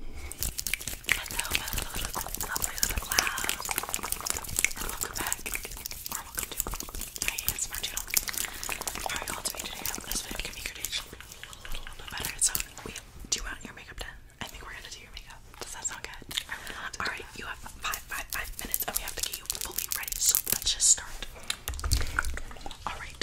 welcome back, or welcome to my ASMR channel. are you all doing today? I'm just going your day a little bit better. So, we, do want your makeup done? I think we're going to do your makeup. Does that sound good? Alright, you have five, five, five minutes, and we have to get you fully ready, so let's just start. Alright,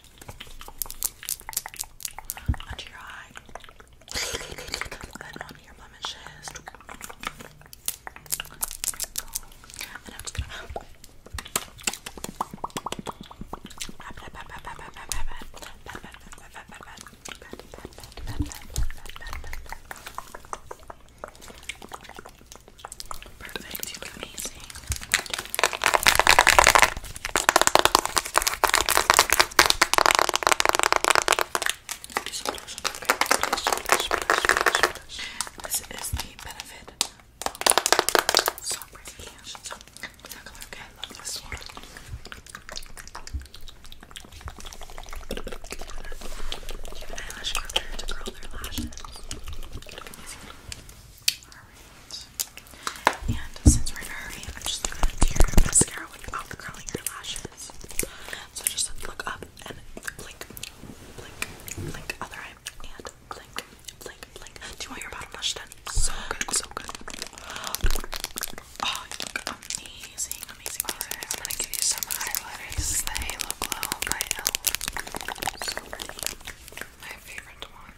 Under your eye. Then on your blemishes. And I'm just gonna Perfect, you got me this is the benefit. So pretty. So, that color, okay, I love this one. You have an eyelash curler to curl Alright. And since we're in a hurry, I'm just looking at your mascara curling your lashes. So just look up and blink, blink, blink, other eye, and blink, blink, blink. Do you want your bottom lash done? So good, so good. Oh, amazing, amazing, amazing. I'm gonna give you some highlighter. This is the Halo Glow by Elle. So pretty. My favorite one.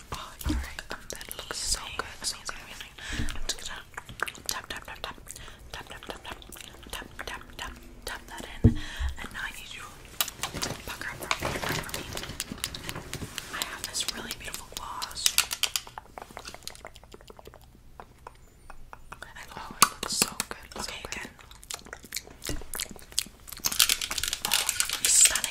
Oh, um, that looks so good. tap, tap, tap, tap, tap, tap, tap, tap, tap, that in. And now I need you oh, it looks so good. Okay, again. Oh, it looks stunning.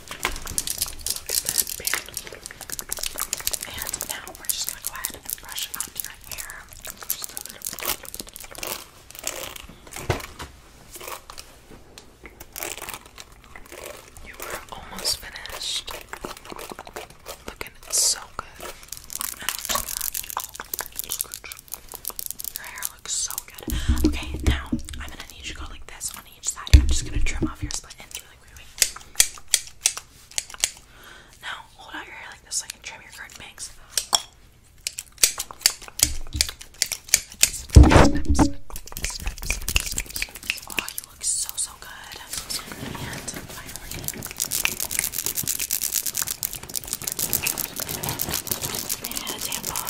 And now we're just gonna go ahead and brush out your hair. You are almost finished. Looking so good. Your hair that looks so good. Okay, now I'm gonna need you go like this on each side. I'm just gonna trim off your split ends Now hold out your hair like this so I can trim your curtain bangs. Oh, you look so so good. And finally. a tampon.